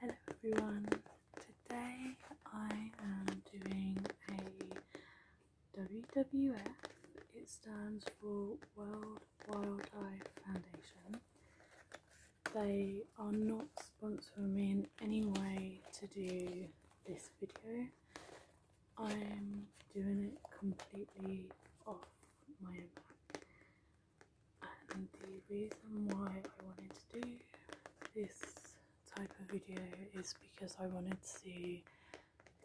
hello everyone. Today I am doing a WWF. It stands for World Wildlife Foundation. They are not sponsoring me in any way to do this video. I'm doing it completely off my own back. And the reason why I wanted to do this type of video is because I wanted to see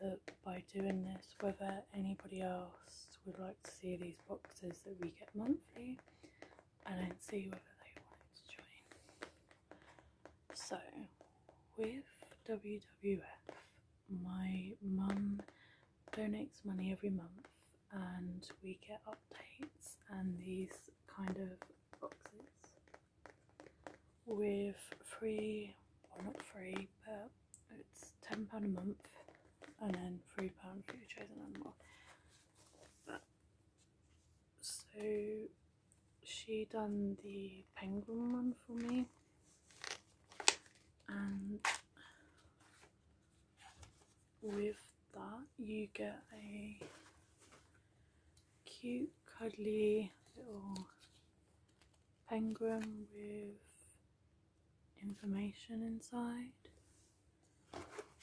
that by doing this whether anybody else would like to see these boxes that we get monthly I don't see whether they wanted to join. So, with WWF, my mum donates money every month and we get updates and these kind of boxes with free, or not free, but it's £10 a month and then £3 for your chosen animal. So she done the penguin one for me and with that you get a cute cuddly little penguin with information inside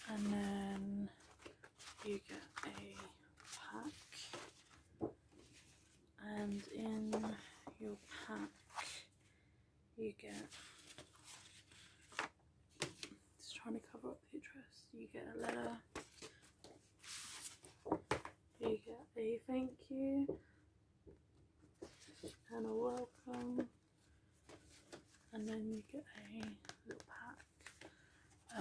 and then you get a pack and in your pack you get just trying to cover up the address you get a letter you get a thank you and a welcome and then you get a little pack.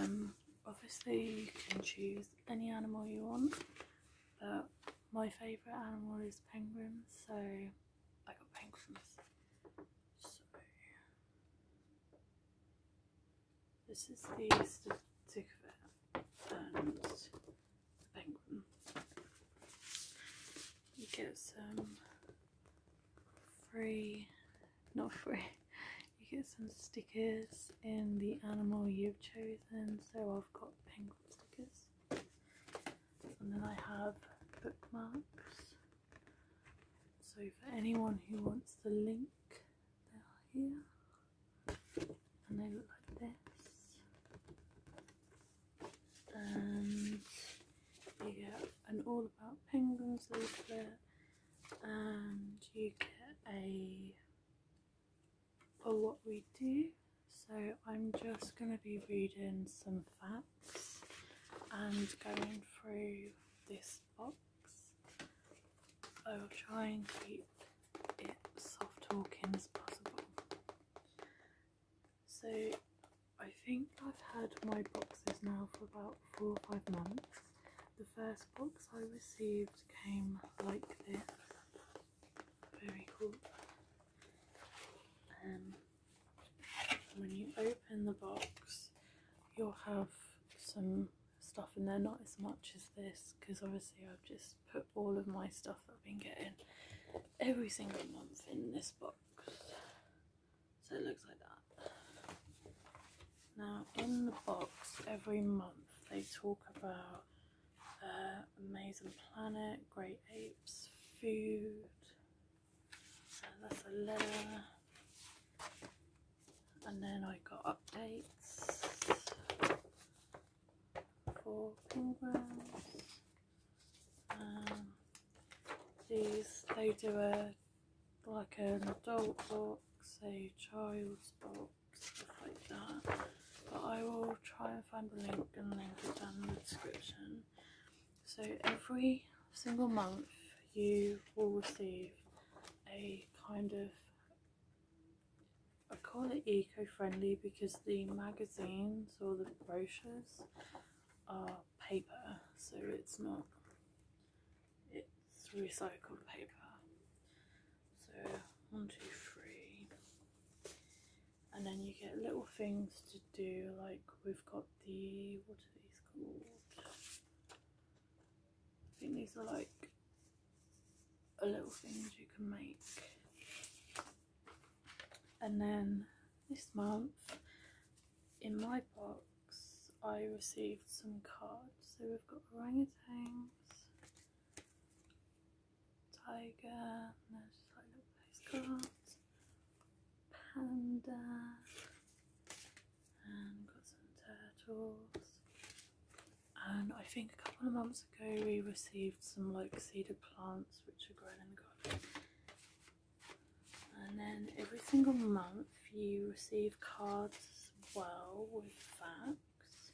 Um, obviously you can choose any animal you want, but my favourite animal is penguins, so I got penguins. So this is the stick of it and the penguin. You get some free, not free, you get some stickers in the animal you've chosen. So I've got penguin stickers, and then I have bookmarks. So for anyone who wants the link, they're here, and they look like this and you get an All About Penguins leaflet and you get a for what we do so I'm just going to be reading some facts and going through this box I will try and keep it soft talking as possible so I think I've had my boxes now for about four or five months. The first box I received came like this. Very cool. Um, when you open the box, you'll have some stuff in there, not as much as this, because obviously I've just put all of my stuff that I've been getting every single month in this box. So it looks like that. Now in the box every month they talk about their uh, amazing planet, great apes, food. So uh, that's a letter. And then I got updates for programs. Um, these, they do a like an adult box, a child's box, stuff like that. But I will try and find the link and link it down in the description. So every single month you will receive a kind of I call it eco-friendly because the magazines or the brochures are paper, so it's not, it's recycled paper. So one, two, three. And then you get little things to do, like we've got the, what are these called? I think these are like a little things you can make and then this month in my box I received some cards so we've got orangutans tiger and no, like little postcards panda and got some turtles and I think a couple of months ago we received some like seeded plants which are growing. in the garden and then every single month you receive cards as well with facts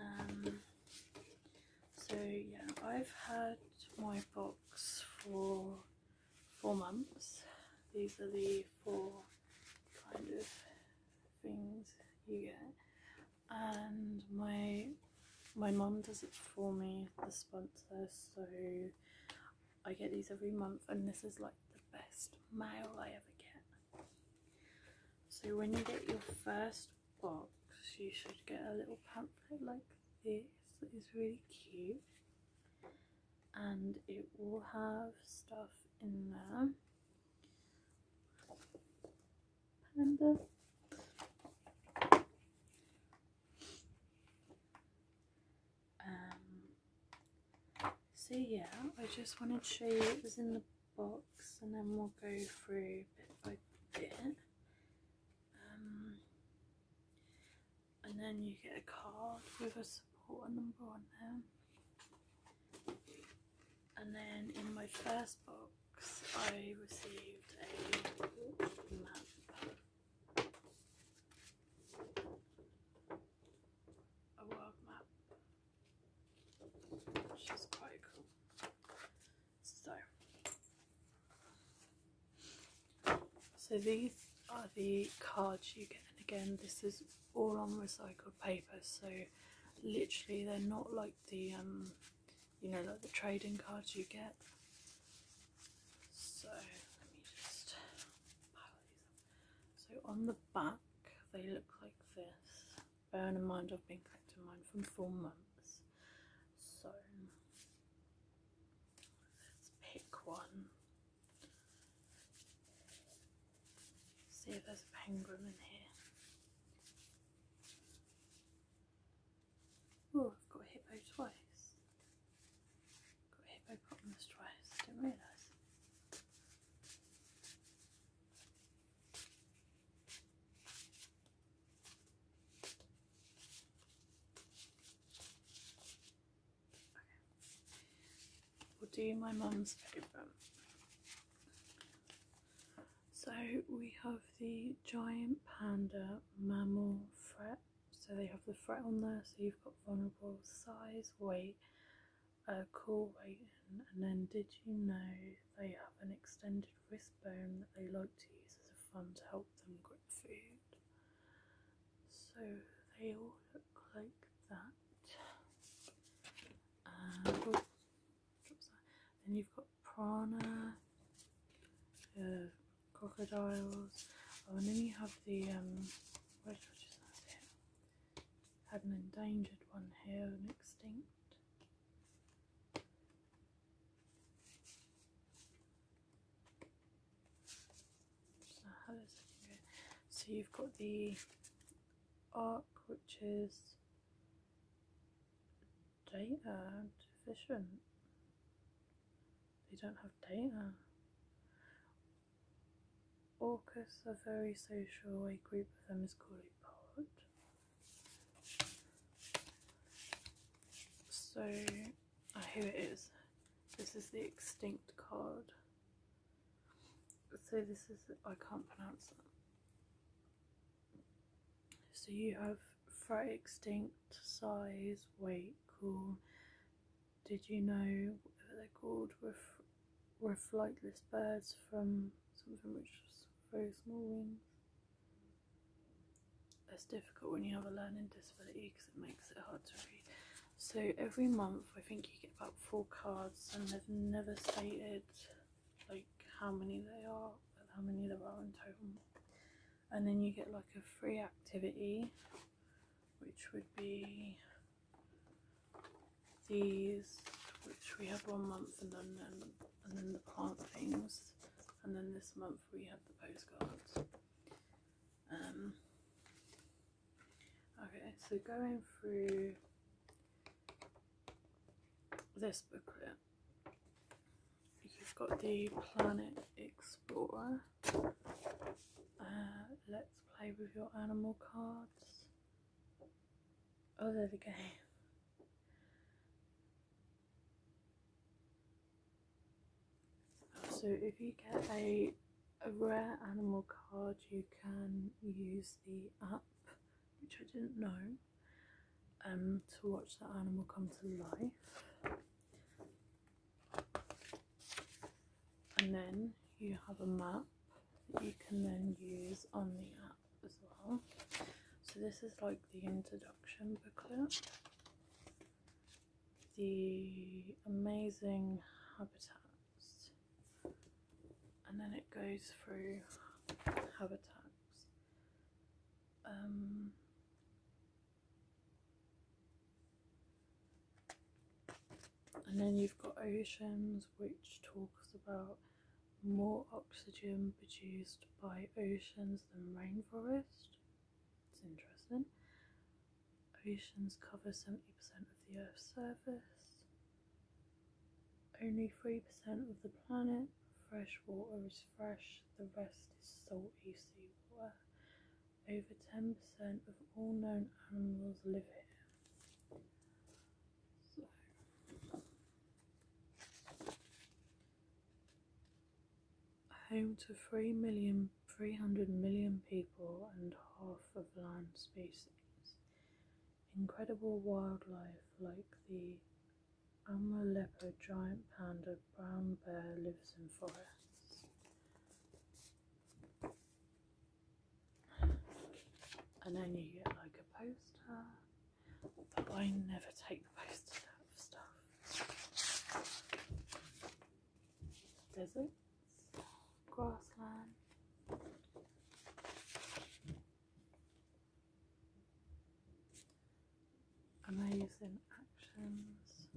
um, so yeah I've had my box for four months these are the four kind of things you get and my my mom does it for me, the sponsor, so I get these every month and this is like the best mail I ever get. So when you get your first box, you should get a little pamphlet like this that is really cute and it will have stuff in there. Panda. Um, so yeah, I just wanted to show you what was in the box and then we'll go through bit by bit. Um, and then you get a card with a support number on there. And then in my first box I received a map, a world map, which is quite cool. So, so these are the cards you get, and again, this is all on recycled paper, so literally they're not like the um you know, like the trading cards you get. So let me just pile these up. So on the back, they look like this. Bear in mind, I've been collecting mine for four months. So let's pick one. See if there's a penguin in here. Oh, I've got a hippo twice. I've got a hippopotamus twice, I didn't realise. Okay. We'll do my mum's paper. So we have the giant panda mammal threat. So they have the threat on there, so you've got vulnerable size, weight, a uh, cool weight, and then did you know they have an extended wrist bone that they like to use as a thumb to help them grip food? So they all look like that. And, uh, then you've got Prana, piranha, uh, crocodiles. Oh, and then you have the um, which Had an endangered one here, extinct. So you've got the arc, which is data deficient. They don't have data. Orcas are very social, a group of them is called a pod. So, here it is. This is the extinct cod. So this is, I can't pronounce that. So you have for extinct size, weight, cool. Did you know they're called? Were, were flightless birds from something which was very small wings. That's difficult when you have a learning disability because it makes it hard to read. So every month, I think you get about four cards, and they've never stated like how many they are and how many there are in total and then you get like a free activity which would be these which we have one month and then um, and, then the plant things and then this month we have the postcards um okay so going through this booklet um, you've got the Planet Explorer. Uh, let's play with your animal cards. Oh, there's a game. So if you get a, a rare animal card, you can use the app, which I didn't know um, to watch that animal come to life. And then you have a map that you can then use on the app as well. So this is like the introduction booklet. The amazing habitats. And then it goes through habitats um, and then you've got oceans which talks about more oxygen produced by oceans than rainforest it's interesting oceans cover 70% of the earth's surface only 3% of the planet fresh water is fresh, the rest is salty seawater. Over 10% of all known animals live here. Home to 3 million, 300 million people and half of land species. Incredible wildlife like the Amra leopard, giant panda, brown bear lives in forests. And then you get like a poster, but I never take the posters out of stuff. Deserts, grassland. Amazing actions.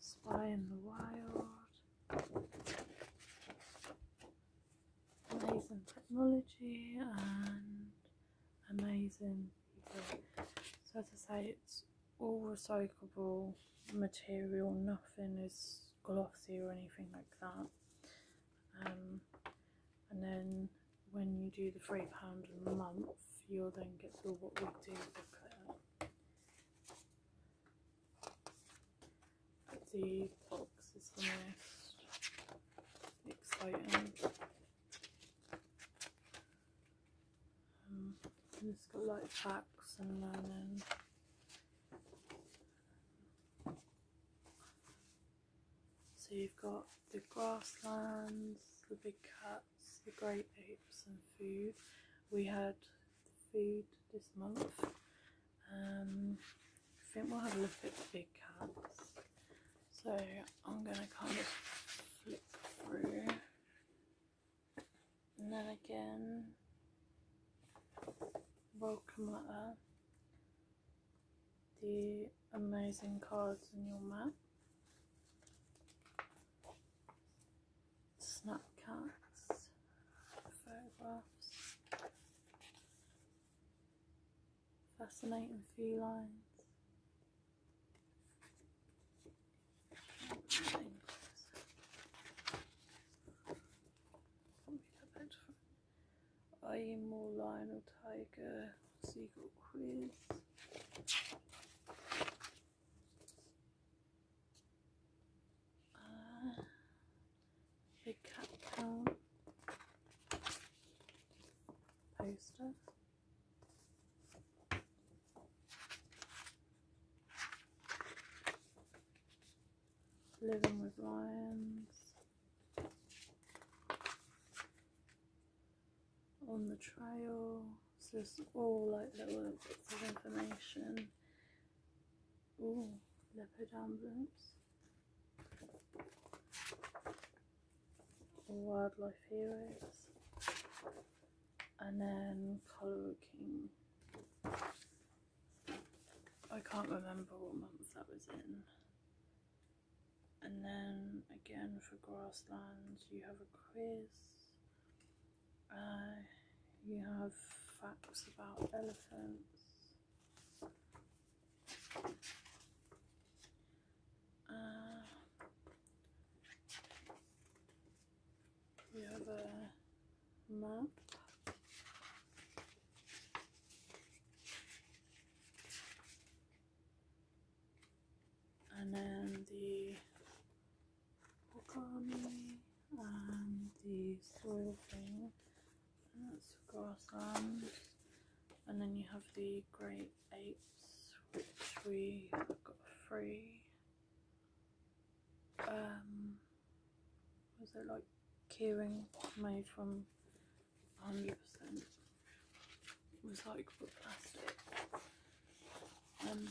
Spy in the Wild. Amazing technology and amazing people. So to say it's all recyclable material, nothing is glossy or anything like that. Um, and then when you do the £3 a month, you'll then get the What We Do booklet. the box is the most exciting. Um, it's got like facts and then. So you've got the grasslands, the big cats, the great apes and food. We had food this month. Um, I think we'll have a look at the big cats. So I'm going to kind of flip through. And then again, Welcome to the amazing cards in your map, snapcats, photographs, fascinating few lines. IMO Lionel Tiger Seagull Quiz. Uh, big Cat Town Living with Lions, On the Trail. So it's all like little bits of information. Oh, leopard ambulance. Wildlife heroes. And then Colour King. I can't remember what month that was in. And then again for grasslands, you have a quiz. Uh, you have facts about elephants. Uh, you have a month. And then the origami and the soil thing. And that's grassland. And then you have the great apes, which we got three. Um, was it like Keyring made from 100% recyclable plastic? Um,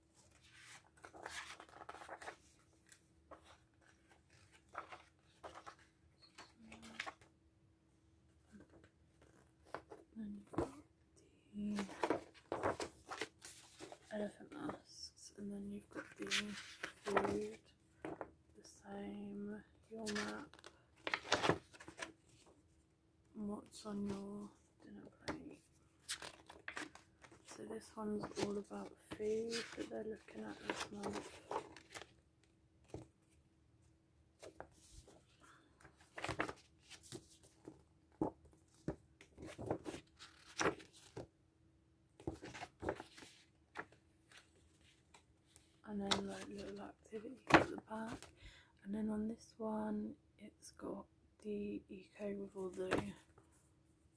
then you've got the elephant masks, and then you've got the food, the same, your map, what's on your dinner plate. So this one's all about food that they're looking at this month. And then like little activities at the back. And then on this one, it's got the eco with all the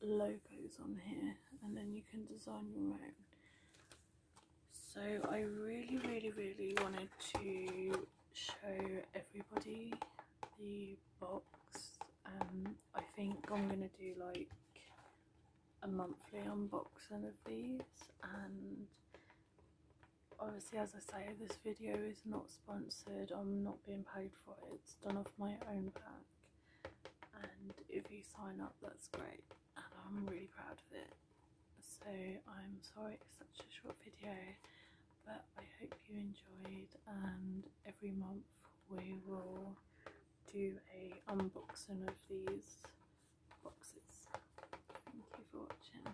logos on here and then you can design your own so I really really really wanted to show everybody the box um, I think I'm gonna do like a monthly unboxing of these and obviously as I say this video is not sponsored I'm not being paid for it it's done off my own back and if you sign up that's great and I'm really proud of it so I'm sorry it's such a short video but I hope you enjoyed and every month we will do a unboxing of these boxes thank you for watching